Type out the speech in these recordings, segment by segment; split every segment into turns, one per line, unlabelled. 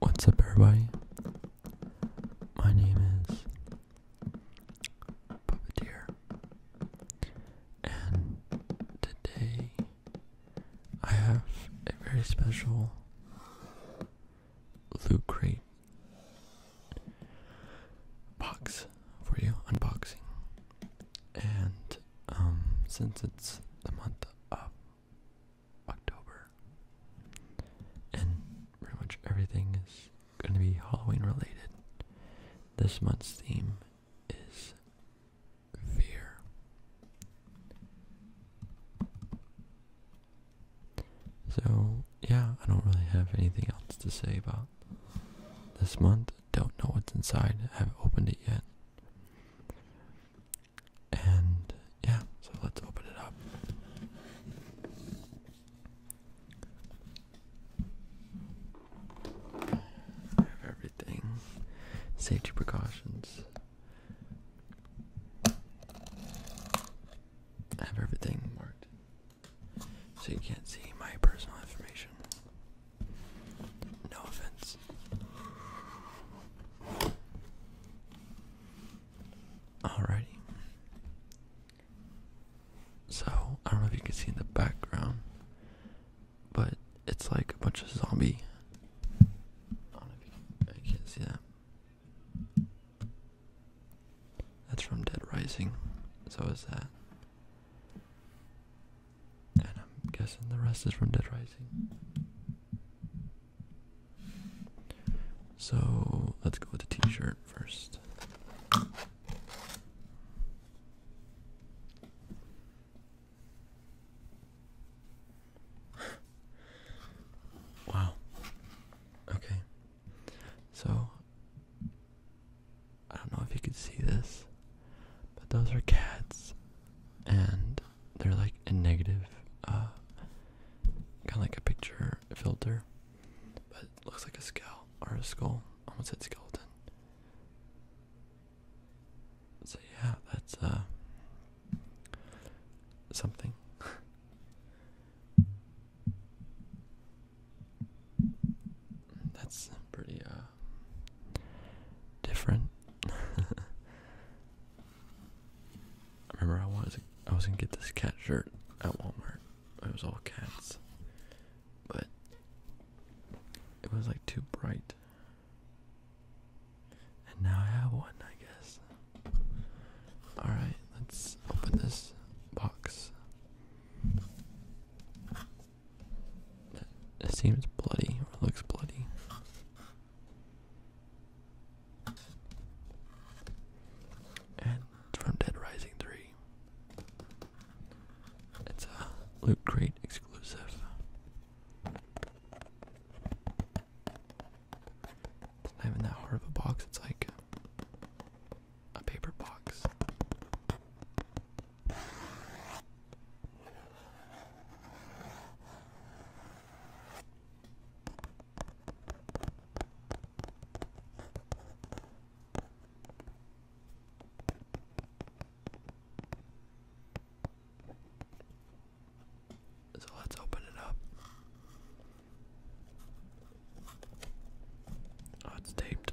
What's up, everybody? My name is Puppeteer, and today I have a very special loot crate box for you unboxing. And um, since it's the month of October. And pretty much everything is going to be Halloween related. This month's theme is fear. So, yeah, I don't really have anything else to say about this month. Don't know what's inside, I haven't opened it yet. And yeah, so let's open it up. I have everything. Safety precautions. I have everything marked. So you can't see my personal information. No offense. Alrighty. So, I don't know if you can see in the background, but it's like a bunch of zombie. I can't see that. That's from Dead Rising. So is that. And I'm guessing the rest is from Dead Rising. So let's go with the t shirt first. wow. Okay. So, I don't know if you could see this, but those are cats. And they're like a negative, uh, kind of like a picture filter, but looks like a skull or a skull. Almost a skeleton. So yeah, that's uh, something. that's pretty uh, different. I remember I wanted I was gonna get this cat shirt at Walmart. It was all cats, but it was like too bright. And now I have one, I guess. Alright, let's open this box. It seems bloody or looks bloody. And it's from Dead Rising 3. It's a Loot Crate exclusive. not even that hard of a box, it's like a paper box. So let's open it up. Oh, it's taped.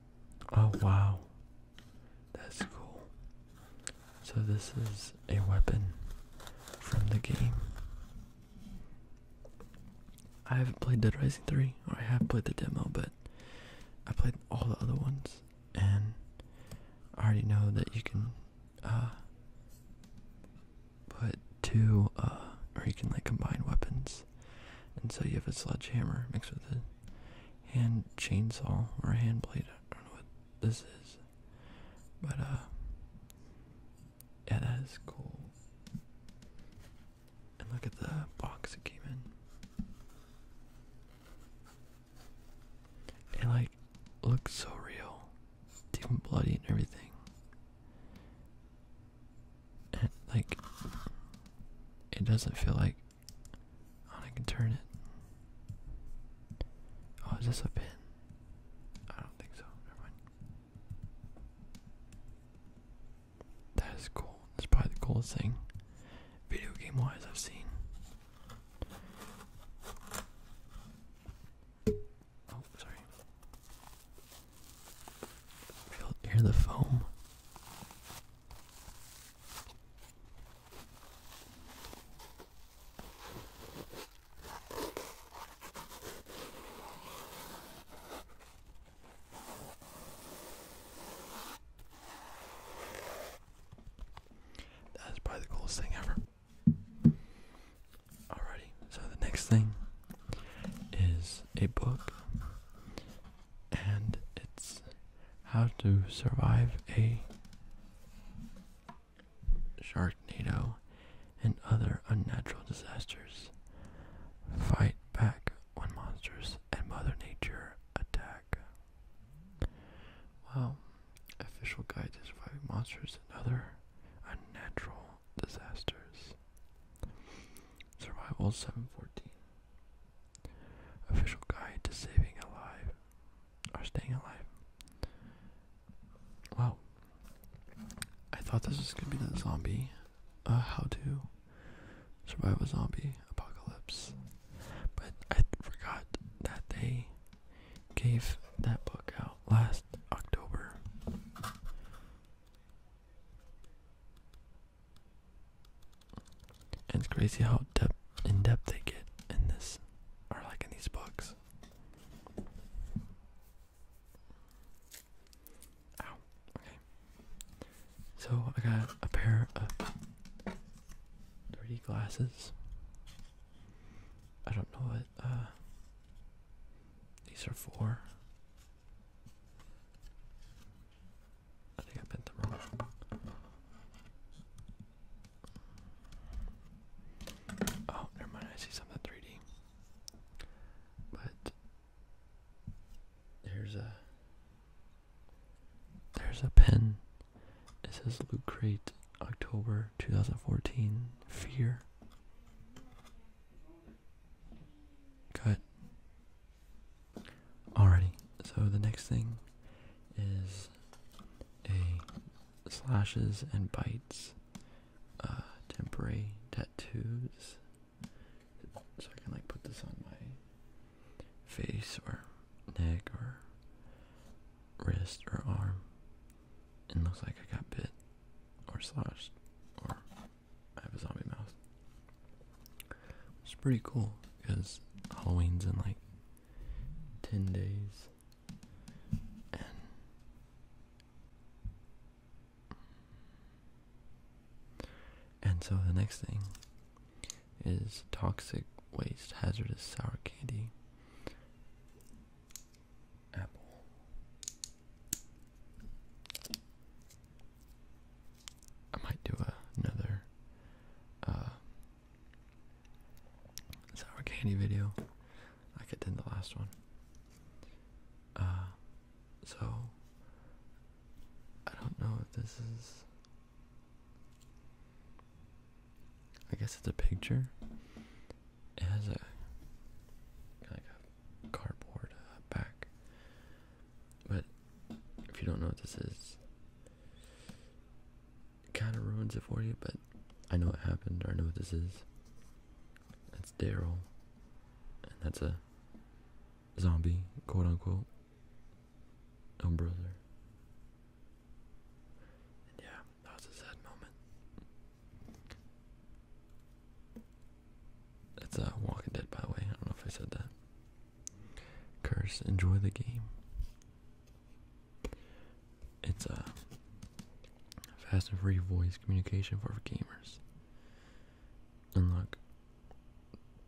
Oh wow. That's cool. So this is a weapon from the game. I haven't played Dead Rising 3, or I have played the demo, but I played all the other ones, and I already know that you can uh, put two, uh, or you can like combine weapons and so you have a sledgehammer mixed with a hand chainsaw or a hand blade. I don't know what this is. But, uh, yeah, that is cool. And look at the box it came in. It, like, looks so real. It's even bloody and everything. like it doesn't feel like oh I can turn it. Oh, is this a pin? I don't think so. Never mind. That is cool. That's probably the coolest thing video game wise I've seen. Oh, sorry. Feel the foam. That is probably the coolest thing ever. Alrighty, so the next thing is a book and it's how to survive a sharknado and other unnatural disasters. Fight back when monsters and Mother Nature attack. Wow. Official guide to surviving monsters and other unnatural disasters. Survival 714. Official guide to saving alive or staying alive. Wow. I thought this was gonna be the zombie. Uh, how to survive a zombie apocalypse. But I forgot that they gave that book out last October. And it's crazy how depth in depth they get in this or like in these books. Ow. Okay. So I got a pair of dirty glasses. I don't know what uh, these are for. I think I bent them wrong. Oh, never mind. I see something 3D. But there's a there's a pen. It says Loot Crate, October 2014. Fear. Cut. Alrighty, so the next thing is a slashes and bites uh, temporary tattoos. So I can like put this on my face or neck or wrist or arm. And looks like I got bit or slashed or I have a zombie mouse. It's pretty cool because Halloween's in like 10 days. And so the next thing is toxic waste hazardous sour candy apple I might do another uh, sour candy video like I did the last one. Uh, so, I don't know if this is. I guess it's a picture. It has a cardboard uh, back. But if you don't know what this is, kind of ruins it for you. But I know what happened. Or I know what this is. That's Daryl, and that's a zombie, quote unquote. Oh brother. yeah, that was a sad moment. That's a uh, Walking Dead, by the way. I don't know if I said that. Curse, enjoy the game. It's a uh, fast and free voice communication for gamers. Unlock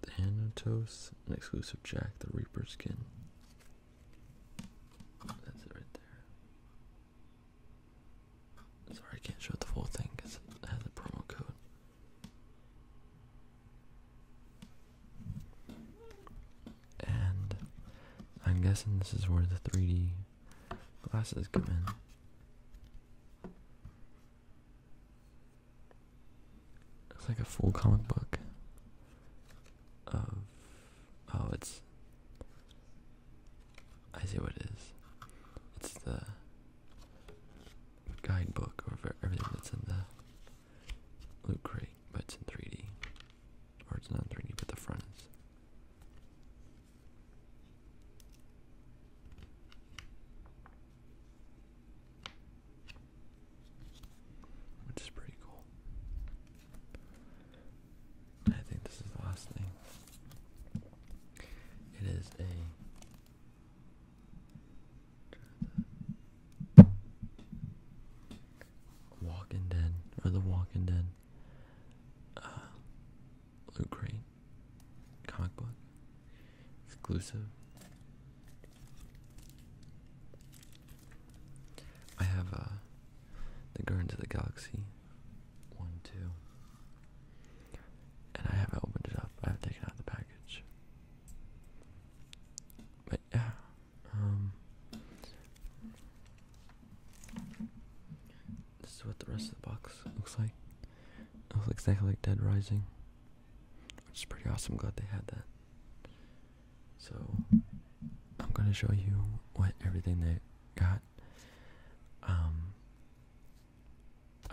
Thanatos, an exclusive Jack the Reaper skin. That's it right there. Sorry, I can't show the full thing because it has a promo code. And I'm guessing this is where the 3D glasses come in. It's like a full comic book oh it's I see what it is. It's the guidebook over everything that's in the loot crate, but it's in 3D. Or it's not 3D, but the front is. Which is pretty cool. I think this is the last thing. It is a Walking Dead or the Walking Dead uh, Loot exclusive. I have uh, the Guardians of the Galaxy one, two. And I haven't opened it up. I haven't taken out the package. But yeah, um, this is what the rest of the box looks like. It looks exactly like Dead Rising, which is pretty awesome. Glad they had that. So I'm gonna show you what everything they got um,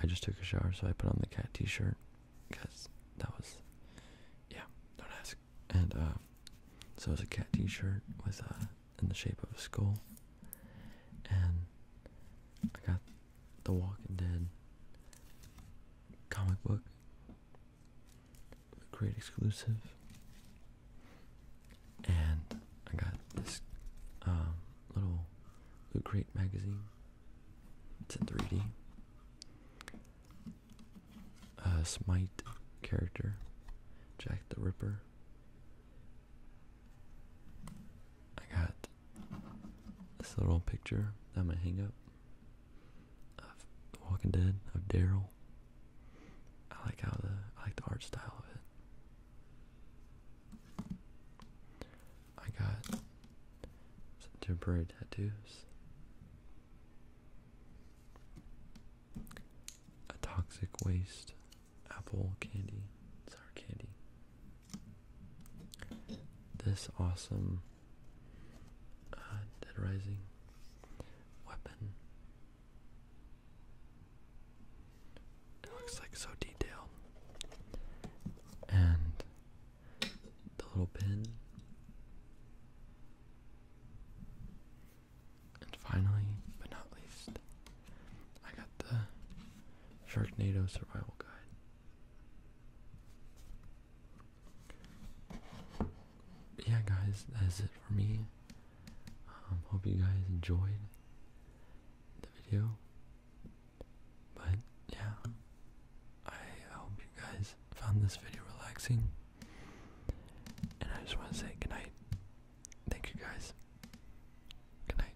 I just took a shower, so I put on the cat T-shirt because that was, yeah, don't ask. And uh, so it's a cat T-shirt with uh, in the shape of a skull, and I got the Walking Dead comic book, great exclusive. And I got this um, little Loot Crate magazine. It's in 3 D. A Smite character, Jack the Ripper. I got this little picture that I'm gonna hang up of The Walking Dead of Daryl. I like how the I like the art style of it. I got temporary tattoos. A toxic waste apple candy, sour candy. This awesome uh, Dead Rising weapon. It looks like so detailed. And the little pin. And finally, but not least, I got the Sharknado Survival Guide. Yeah, guys, that is it for me. Um, hope you guys enjoyed the video. But yeah, I hope you guys found this video relaxing. And I just want to say good night. Thank you guys. Good night.